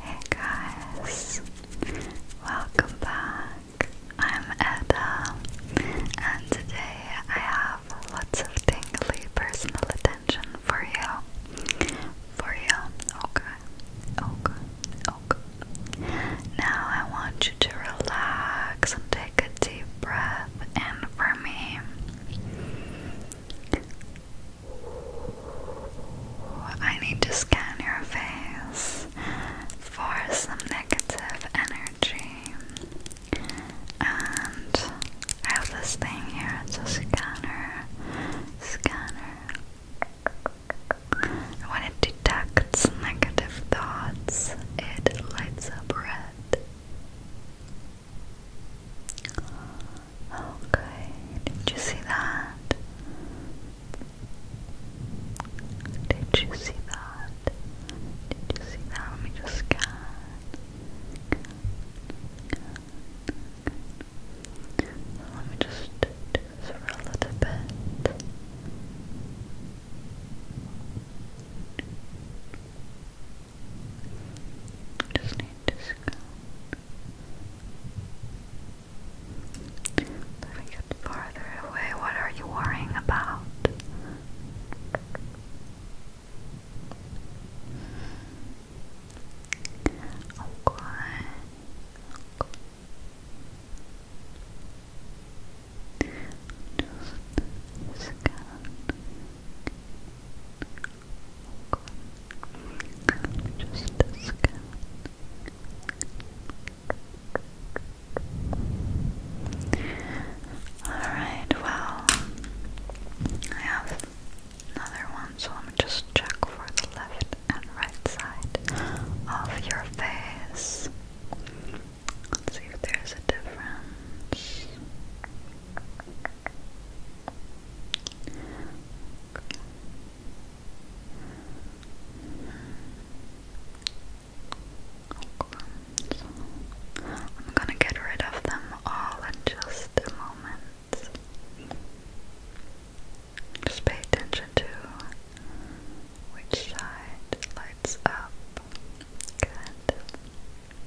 Hey guys, welcome back. I'm Edda, and today I have lots of tingly personal attention for you. For you, okay, okay, okay. Now I want you to relax and take a deep breath breath in for me. I need to scan your face for some negative energy. And I have this thing here, it's a scanner. Scanner. When it detects negative thoughts, it lights up red. Okay, did you see that? Did you see that? Did you see that? Let me just scan. Let me just do this for a little bit. Just need to Let me get farther away. What are you worrying about? Okay. Just scan. Just scan. Alright, well, I have another one, so let me just check for the left and right side of your face. Let's see if there's a difference. I'm gonna get rid of them all in just a moment. Just pay attention to which side lights up. Good. Good.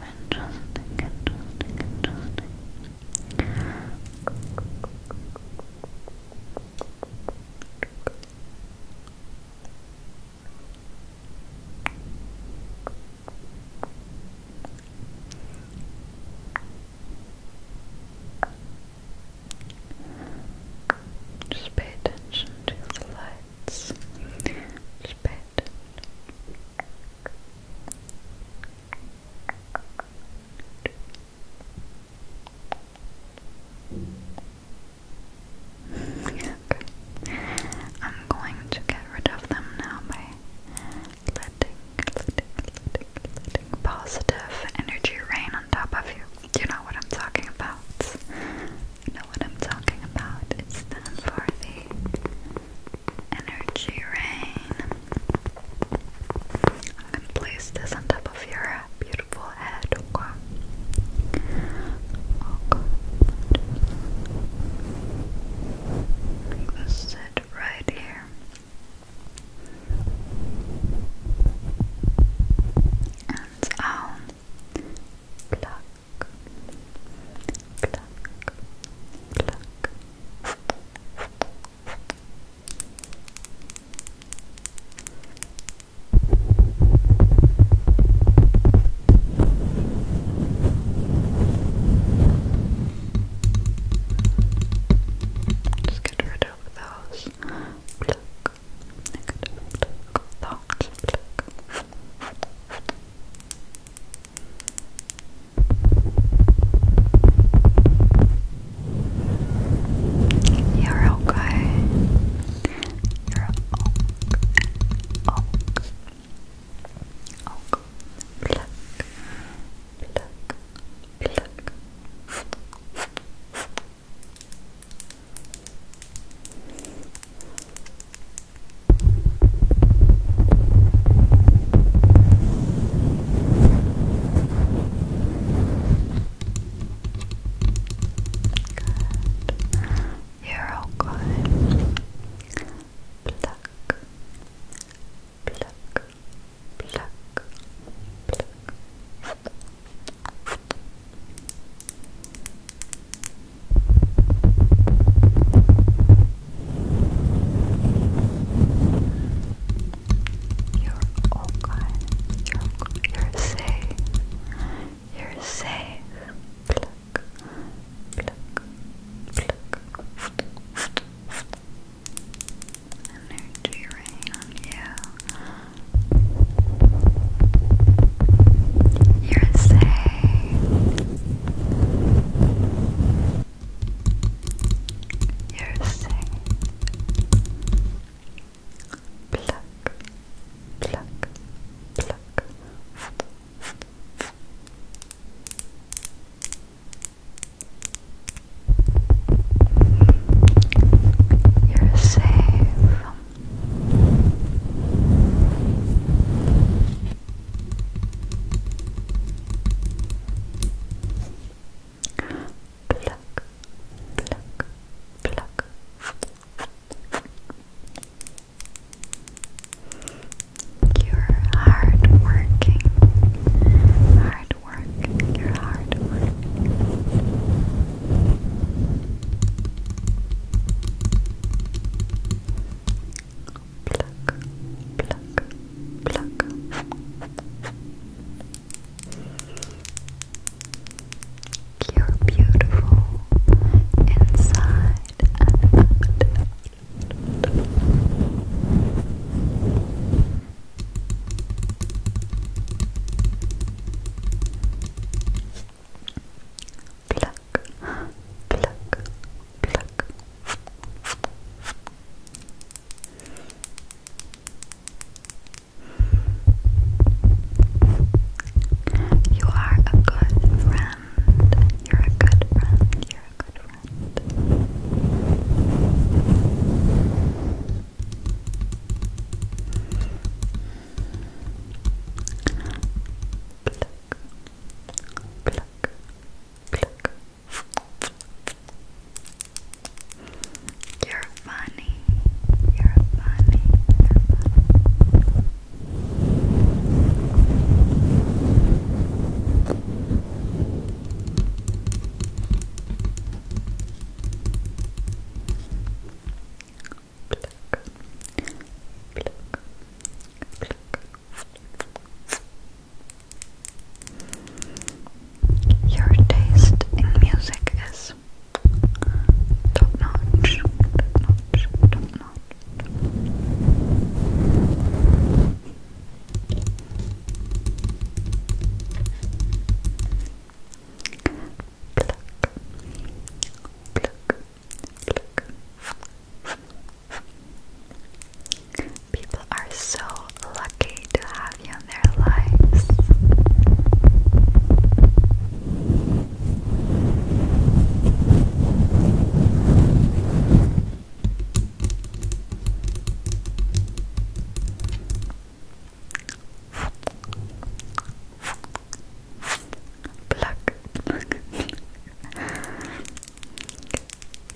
Interesting, interesting, interesting. Good. Just pay attention to the lights. Just pay attention. I'm going to get rid of them now by letting positive energy rain on top of you. You know what I'm talking about. know what I'm talking about. It's for the energy rain. I'm gonna place this on top of your beautiful head. Okay. Okay. Make this sit right here. And I'll pluck, pluck, Just get rid of those look, You're okay. You're okay. Okay. Okay. Pluck. Pluck. Pluck. You're all good. Pluck, pluck, pluck, pluck. You're okay. You're You're safe. You're safe energy rain on you. You're safe. You're safe. Pluck, pluck, pluck. You're safe. Pluck, pluck, pluck. You're working, work, your hard work. Pluck, pluck, You're beautiful inside and out. Pluck, pluck, pluck. You are a good friend. You're a good friend. You're a good friend. Pluck, You're funny. You're funny. Pluck. Pluck. Your taste in music is top notch, top notch, People are so lucky to have you in their lives. Pluck, pluck.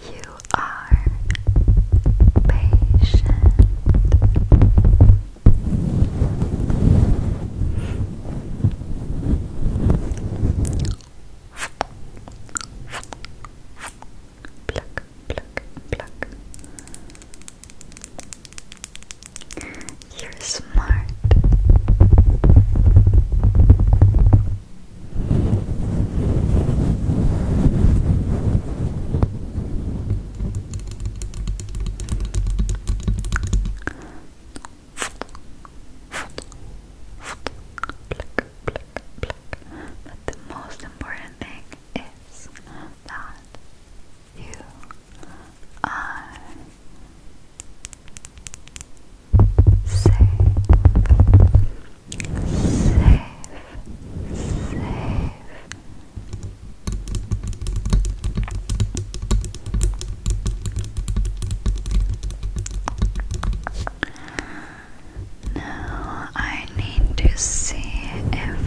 You are patient. Pluck, pluck, pluck. You're smart. But the most important thing is that you are safe, safe, safe. Now I need to see if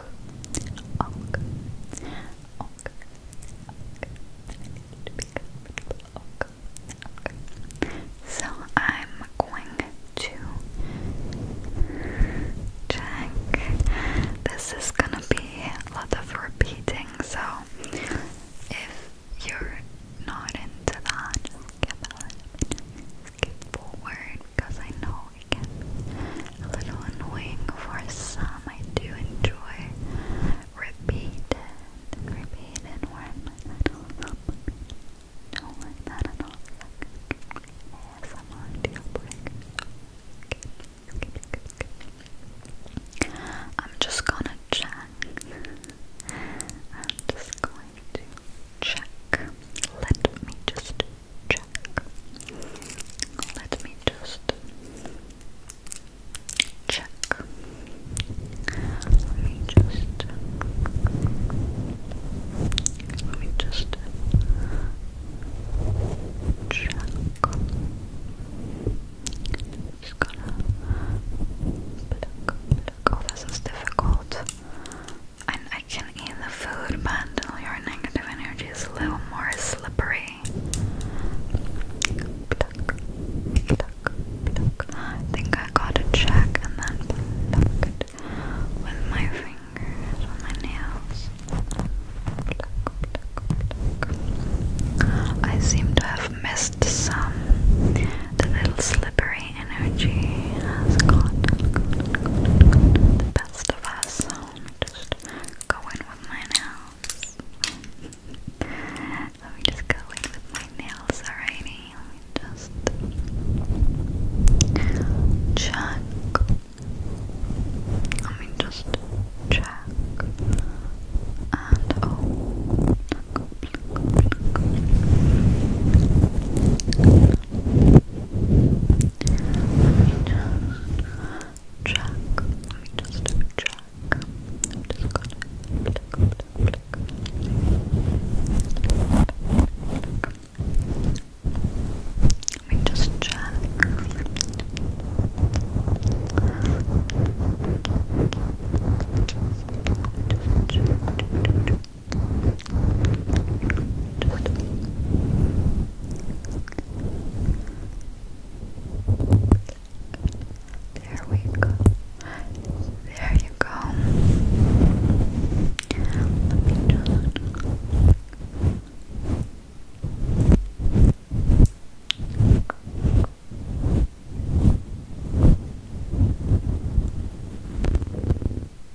So I'm going to check. This is gonna be a lot of repeating, so if you're not into that, Skip forward because I know a little annoying for some. I do enjoy repeated, repeated words. I don't love Don't like that at all. Yes, I'm on deal breaker. I'm just gonna check. I'm just going to check. Let me just check. Let me just check. Let me just let me just check. Just gonna look. pluck. Oh, this is difficult. I can eat the food, but your negative energy is a little more slippery. I think I got to check and then with my fingers, with my nails. I seem to have missed some. The little slippery energy has got, the best of us just go in with my nails. Let me just go in with my nails, alrighty? just check. Let me just check. And oh just check. Let me just check. I'm just gonna click, click, click. Let me just check. Just there we go. There you go. Let me just Okay.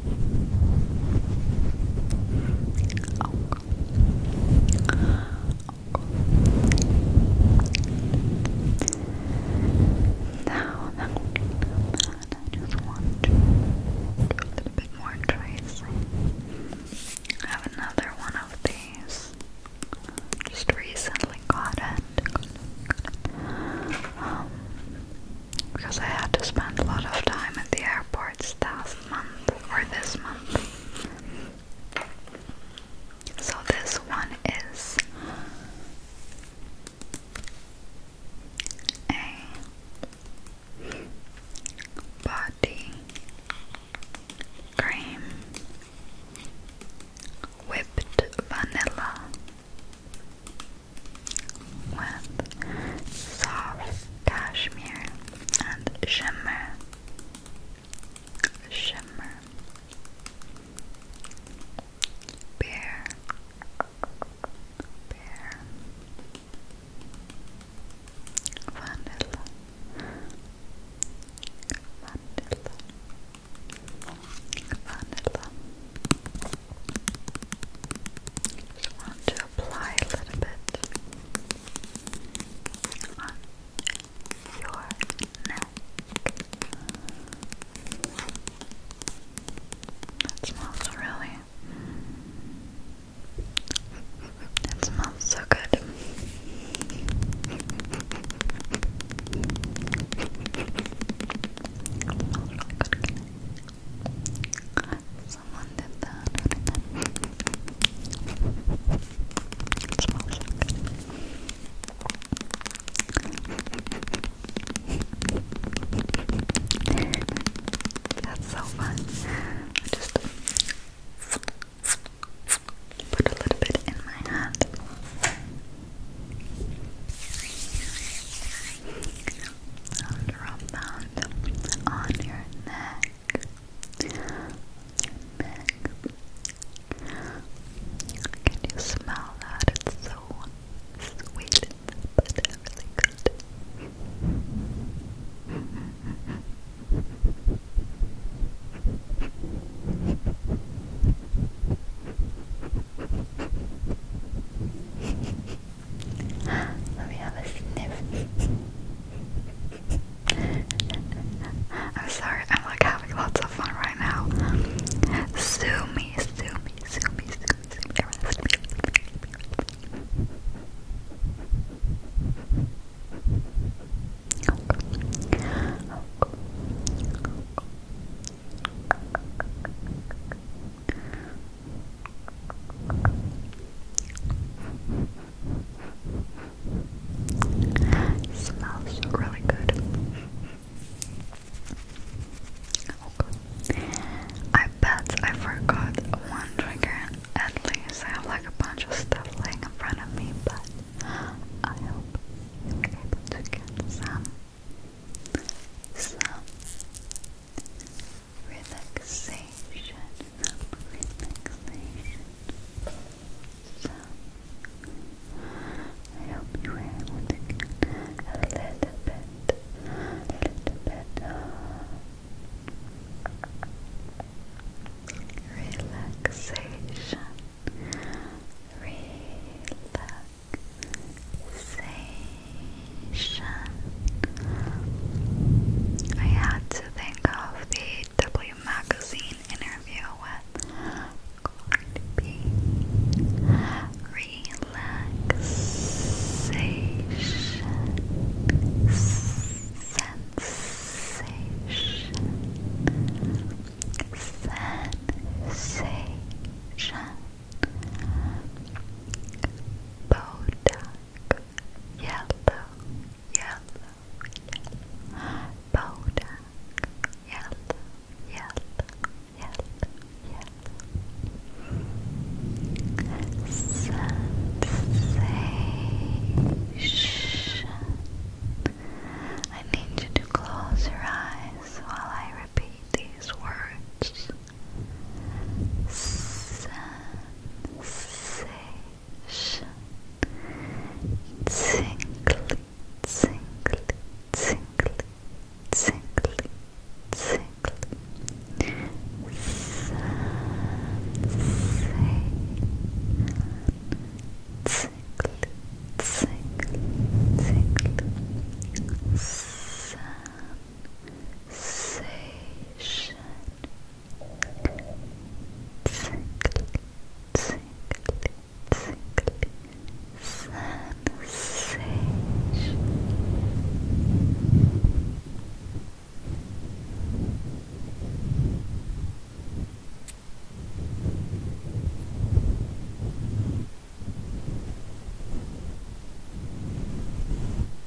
Now, now, I just want to do a little bit more tracing. I have another one of these. Just recently got it. Um, because I had to spend a lot of time at the airports last month or this month. So this one is a body cream whipped vanilla with soft cashmere and shimmer, shimmer, bear, bear, vanilla, vanilla. Vanilla, just want to apply a little bit on your neck. That smells really. It smells so good. good. Someone did that. That's so fun. I just put a little bit in my hand and rub that on your neck. Can you smell that? It's so sweet, but really good. Let me have a sniff. I'm sorry, I'm like having lots of fun right now. Sue me, sue me, sue Smells really good. Okay. I bet I forgot one trigger. At least I have like a bunch of stuff laying in front of me, but I hope you were able to get some some relaxation, relaxation. So, I hope you were a little bit, little bit relaxation, relaxation. I had to think of the W Magazine interview with Cardi Sensation Sensation Botox yellow, yellow, yellow, Bodak, yellow, yellow, yellow, yellow, sensation. I need you to close your eyes while I repeat these words sensation tingly, tingly, tingly, tingly, tingly sensation Tingly, tingly, tingly, sensation, sensation tingly, tingly, tingly sensation